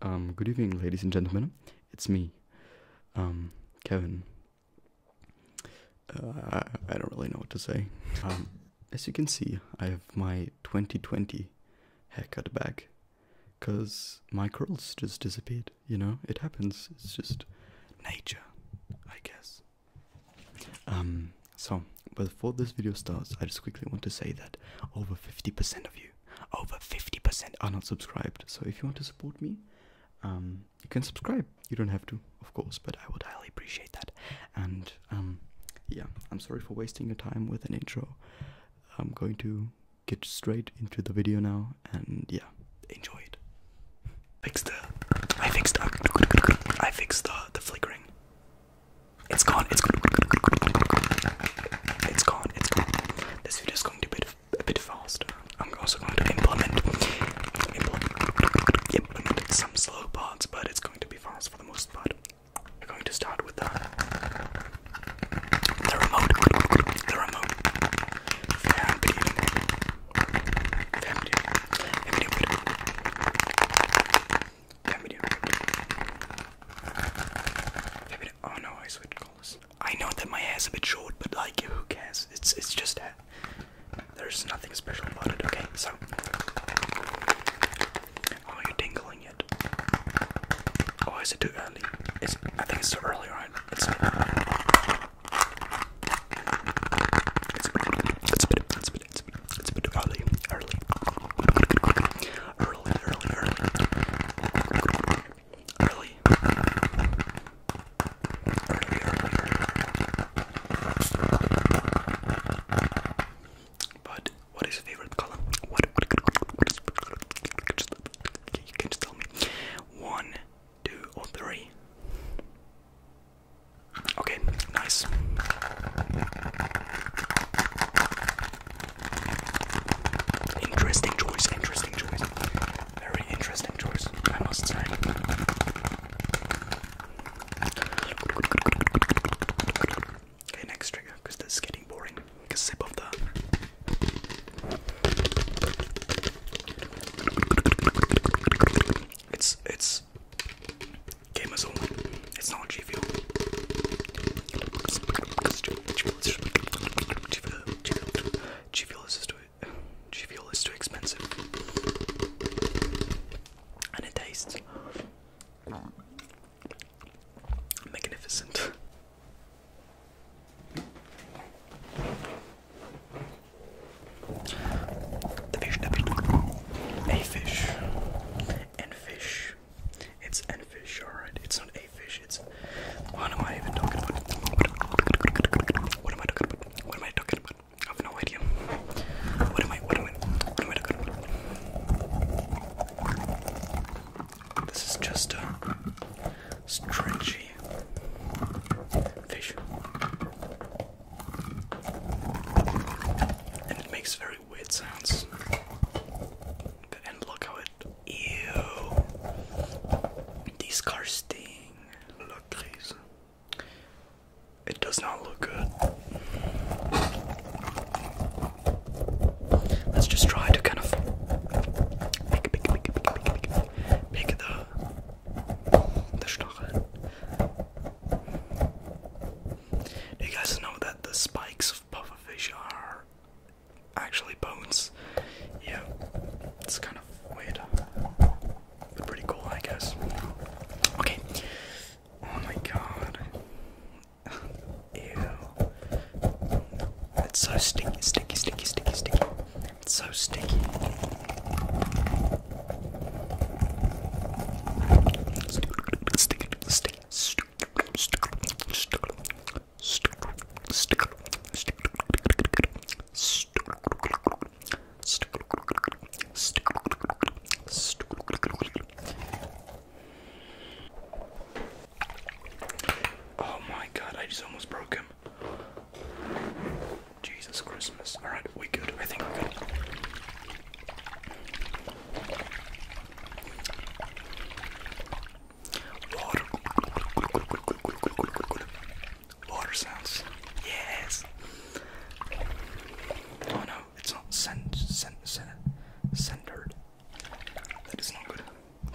Um, good evening, ladies and gentlemen. It's me, um, Kevin. Uh, I, don't really know what to say. Um, as you can see, I have my 2020 haircut back because my curls just disappeared. You know, it happens. It's just nature, I guess. so, before this video starts, I just quickly want to say that over 50% of you over 50% are not subscribed. So if you want to support me, um, you can subscribe. You don't have to, of course, but I would highly appreciate that. And um, yeah, I'm sorry for wasting your time with an intro. I'm going to get straight into the video now, and yeah, enjoy it. Fixed the, I fixed the, I fixed the the flickering. It's gone. It's gone. It's gone. This video is going to be a bit faster. I'm also going to implement some slow parts, but it's going to be fast for the most part. We're going to start with the remote, the remote, fan video, video, video, video. Oh no, I switched. I know that my hair's a bit short, but like, who cares? It's it's just hair. There's nothing special about it. Okay, so are oh, you tingling yet? oh, is it too early? It's I think it's too early, right? It's it's a bit, it's a bit, it's a bit, it's a bit, it's a bit early, early, early, early, early early. But what is your favorite color? you can just tell me. One, two, or three. Okay, nice. Interesting choice, interesting choice. Very interesting choice, I must say. Okay, next trigger, because this is getting boring. Like a sip of the. It's it's gamers only. It's not G G is too expensive, and it tastes magnificent. a fish, and fish, it's N fish, alright? It's not a fish, it's. What am I even talking about? What am I talking about? What am I talking about? I have no idea. What am I, what am I, what am I talking about? This is just a stretchy fish. And it makes very weird sounds. And look how it Ew. Disgusting. Look, Chris. It does not look good. Let's just try to kind of pick, the, the stachel. you guys know that the spikes pufferfish are actually bones. Yeah, it's kind of weird, but pretty cool, I guess. Okay. Oh my god. Ew. It's so sticky, sticky, sticky, sticky, sticky. so sticky. Stick, stick, stick, stick, stick, Oh my god, I just almost broke him. Jesus Christmas. Alright, we good. I think we're good. Water. sounds. Yes. Oh no, it's not cent cent cent centered. That is not good.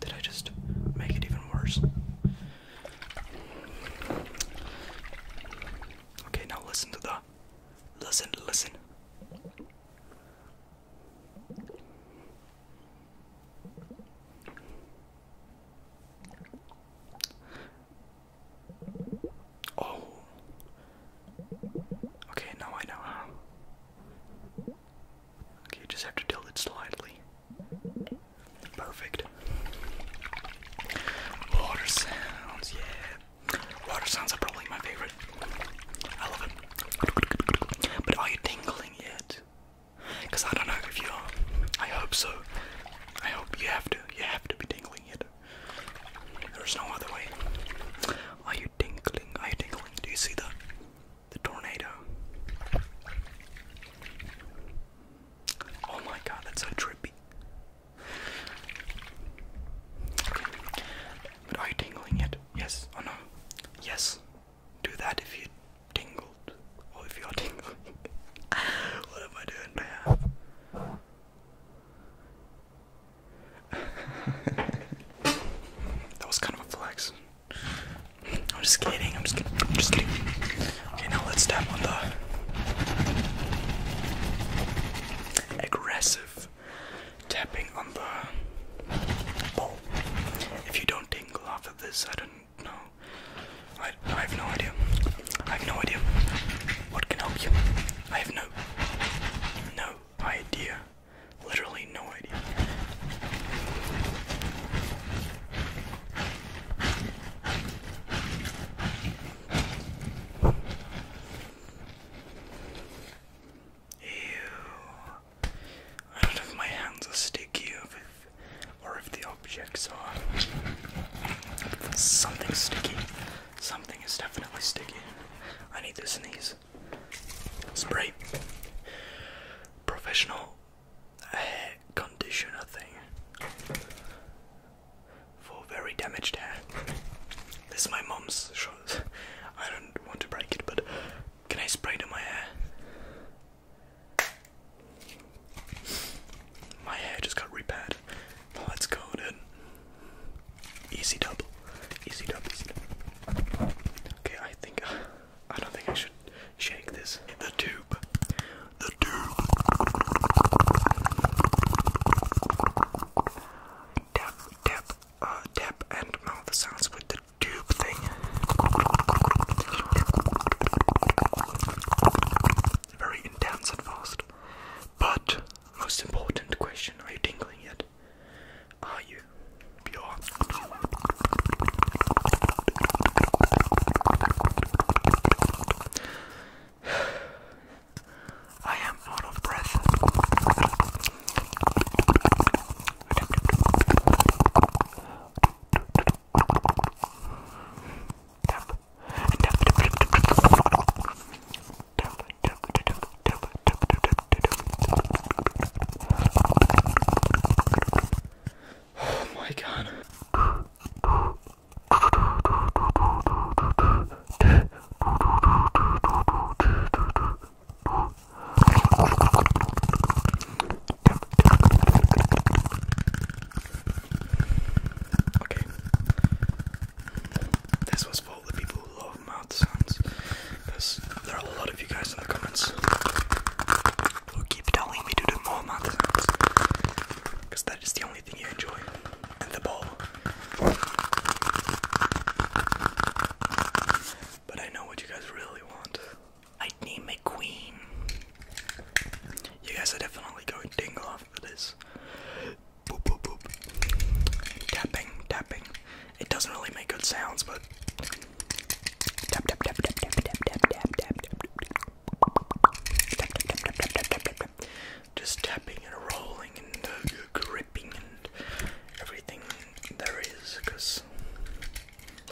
Did I just make it even worse? Okay, now listen to the. Listen, listen. Oh. Okay, now I know Okay, just have to tilt it slightly. Perfect. Water sounds, yeah. Water sounds are probably my favorite. I love it. But are you tingling yet? Cause I don't know if you are. Um, I hope so. I hope you have to. You have to be tingling it. There's no other way. Are you tingling? Are you tingling? Do you see the the tornado? Oh my god, that's so trippy. But are you tingling it? Yes or no? Yes. Do that if you tingled, or if you're tingling. what am I doing now? that was kind of a flex. I'm just kidding. I'm just kidding. I'm just kidding. Okay, now let's tap on the aggressive tapping on the ball. If you don't tingle after this. I don't know. I have no idea. I have no idea. What can help you? I have no, no idea. Literally no idea. Ew. I don't know if my hands are sticky or if, or if the objects are. Something's sticky. Something is definitely sticky. I need to sneeze. Spray. Professional hair conditioner thing for very damaged hair. This is my mom's. I don't want to break it, but can I spray it on my hair? My hair just got repaired. Let's go, dude. Easy double, Easy double, easy dub. Okay, I think uh, I don't think I should shake this. The tube. The tube. Tap, tap, uh, tap and mouth sounds with the tube thing. Very intense and fast. But, most important question are you tingling yet? Are you? You are. I am out of breath tap, Oh my god. This was for all the people who love mouth sounds, because there are a lot of you guys in the comments who keep telling me to do more mouth sounds, because that is the only thing you enjoy, and the ball. But I know what you guys really want. Lightning McQueen. You guys are definitely going dingle after this. Boop, boop, boop. Tapping, tapping. It doesn't really make good sounds, but. Tap, tap, tap, tap, tap, tap, tap, tap, tap, Just tapping and rolling and gripping and everything there is,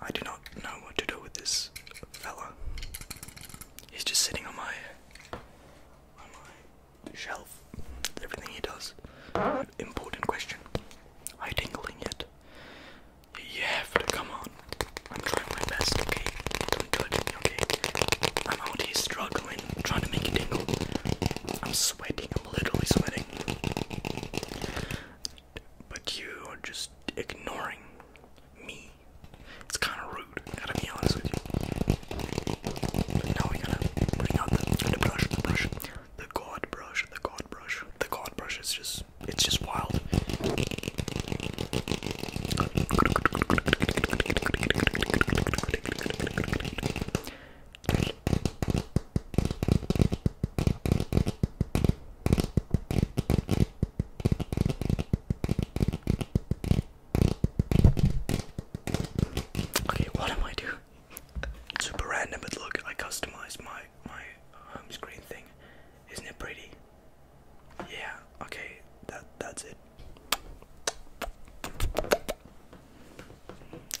I do not know what to do with this fella. He's just sitting on my on my shelf. Everything he does. important question. Are you tingling yet? You have to come on. I'm trying my best, okay? Don't okay? I'm out here struggling, trying to make it tingle. I'm sweating, I'm literally sweating but you are just ignoring me. It's kind of rude. gotta be honest with you. now we gotta bring out the brush, the brush, the god brush, the god brush, the god brush. It's just, it's just wild. Okay, what am I doing? super random, but look, I customized my my home screen thing. Isn't it pretty? Yeah. Okay, that that's it.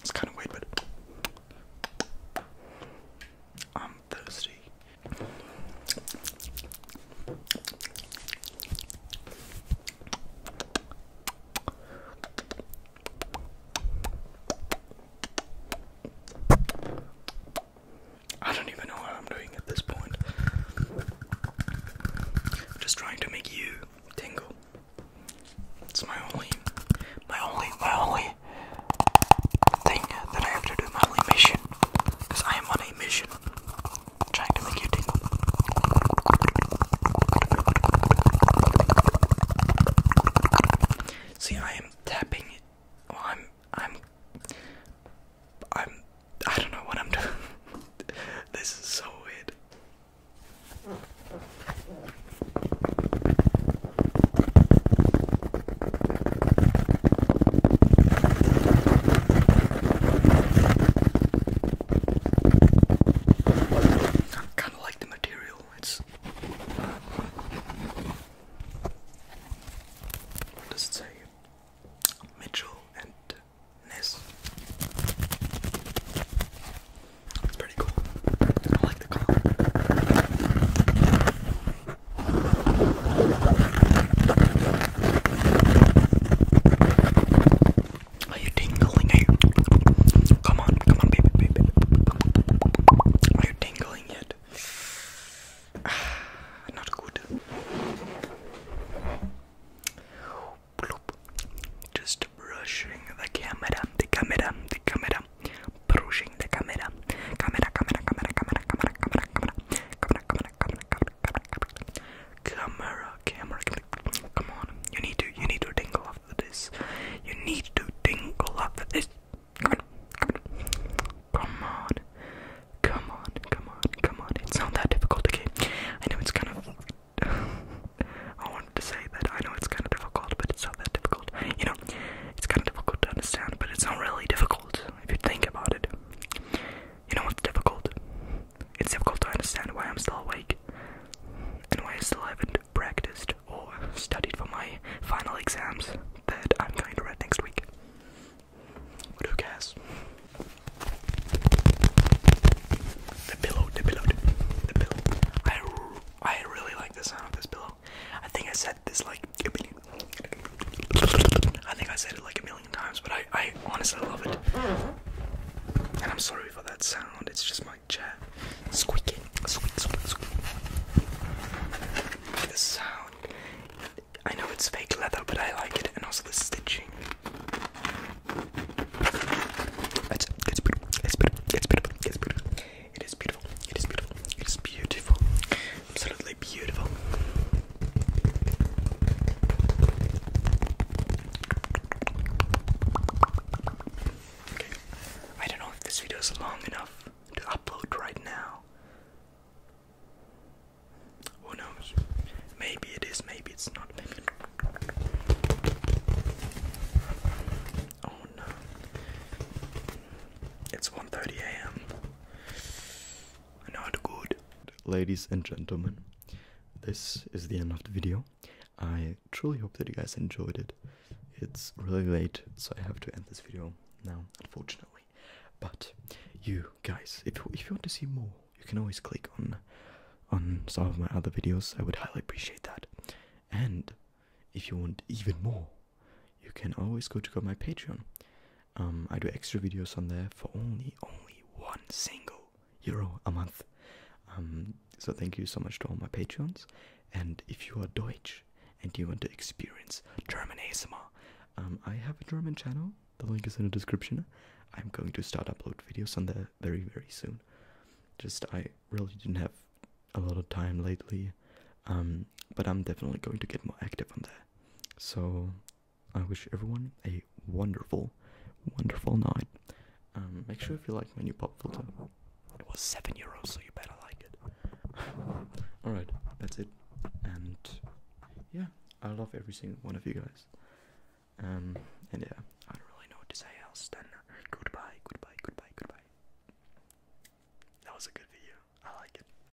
It's kind of weird, but I'm thirsty. I don't even know what I'm doing at this point. just trying to make you tingle. It's my only, my only, my only thing that I have to do, my mission. Because I am on a mission trying to make you tingle. See, I am tapping. it. I'm. I'm. I'm. I don't know what I'm doing. this is so weird. Kind of like the material. It's. What does it say? Mitchell and Ness. It's pretty cool. I like the color. Are you tingling? Are Come on, come on, baby, baby. Are you tingling yet? Not good. Just brushing the camera, the camera, the camera pushing the camera. Camera, camera, camera, camera, camera, camera, camera, camera, camera, camera, camera, camera, camera. Come on, you need to, you need to tingle after this. You need to tingle after this. Come on, come on, come on, come on, come on, It's not that difficult, okay? I know it's kind of. I wanted to say that I know it's kind of difficult, but it's not that difficult. You know, it's kind of difficult to understand, but it's not really difficult if you think about it. You know what's difficult? It's difficult to understand why I'm still awake and why I still haven't practiced or studied for my final exams that I'm going to write next week. What do The pillow, the pillow, the pillow. I, I really like the sound of this pillow. I think I said this like a million. I think I said it like a million times, but I, I honestly love it. Mm-hmm. And I'm sorry for that sound. It's just my chair squeaking, The sound. I know it's fake leather, but I like it, and also the stitching. It's beautiful. It's beautiful. It's beautiful. It is beautiful. It is beautiful. It is beautiful. Absolutely beautiful. Okay. I don't know if this video is long enough to upload right now. Who knows? Maybe it is, maybe it's not. Oh no. It's 1:30 a.m. Ladies and gentlemen, this is the end of the video. I truly hope that you guys enjoyed it. It's really late, so I have to end this video now, unfortunately. But you guys, if if you want to see more, you can always click on on some of my other videos. I would highly appreciate that. And if you want even more, you can always go check out my Patreon. Um, I do extra videos on there for only only one single euro a month. Um, so thank you so much to all my Patreons. And if you are Deutsch and you want to experience German ASMR, um, I have a German channel. The link is in the description. I'm going to start upload videos on there very very soon. Just I really didn't have a lot of time lately, but I'm definitely going to get more active on there. So I wish everyone a wonderful, wonderful night. Um, make sure if you like my new pop filter. It was seven euros, so you better like it. All right, that's it. And yeah, I love every single one of you guys. Um, and yeah, I don't really know what to say else than goodbye, goodbye, goodbye, goodbye. That was a good video. I like it.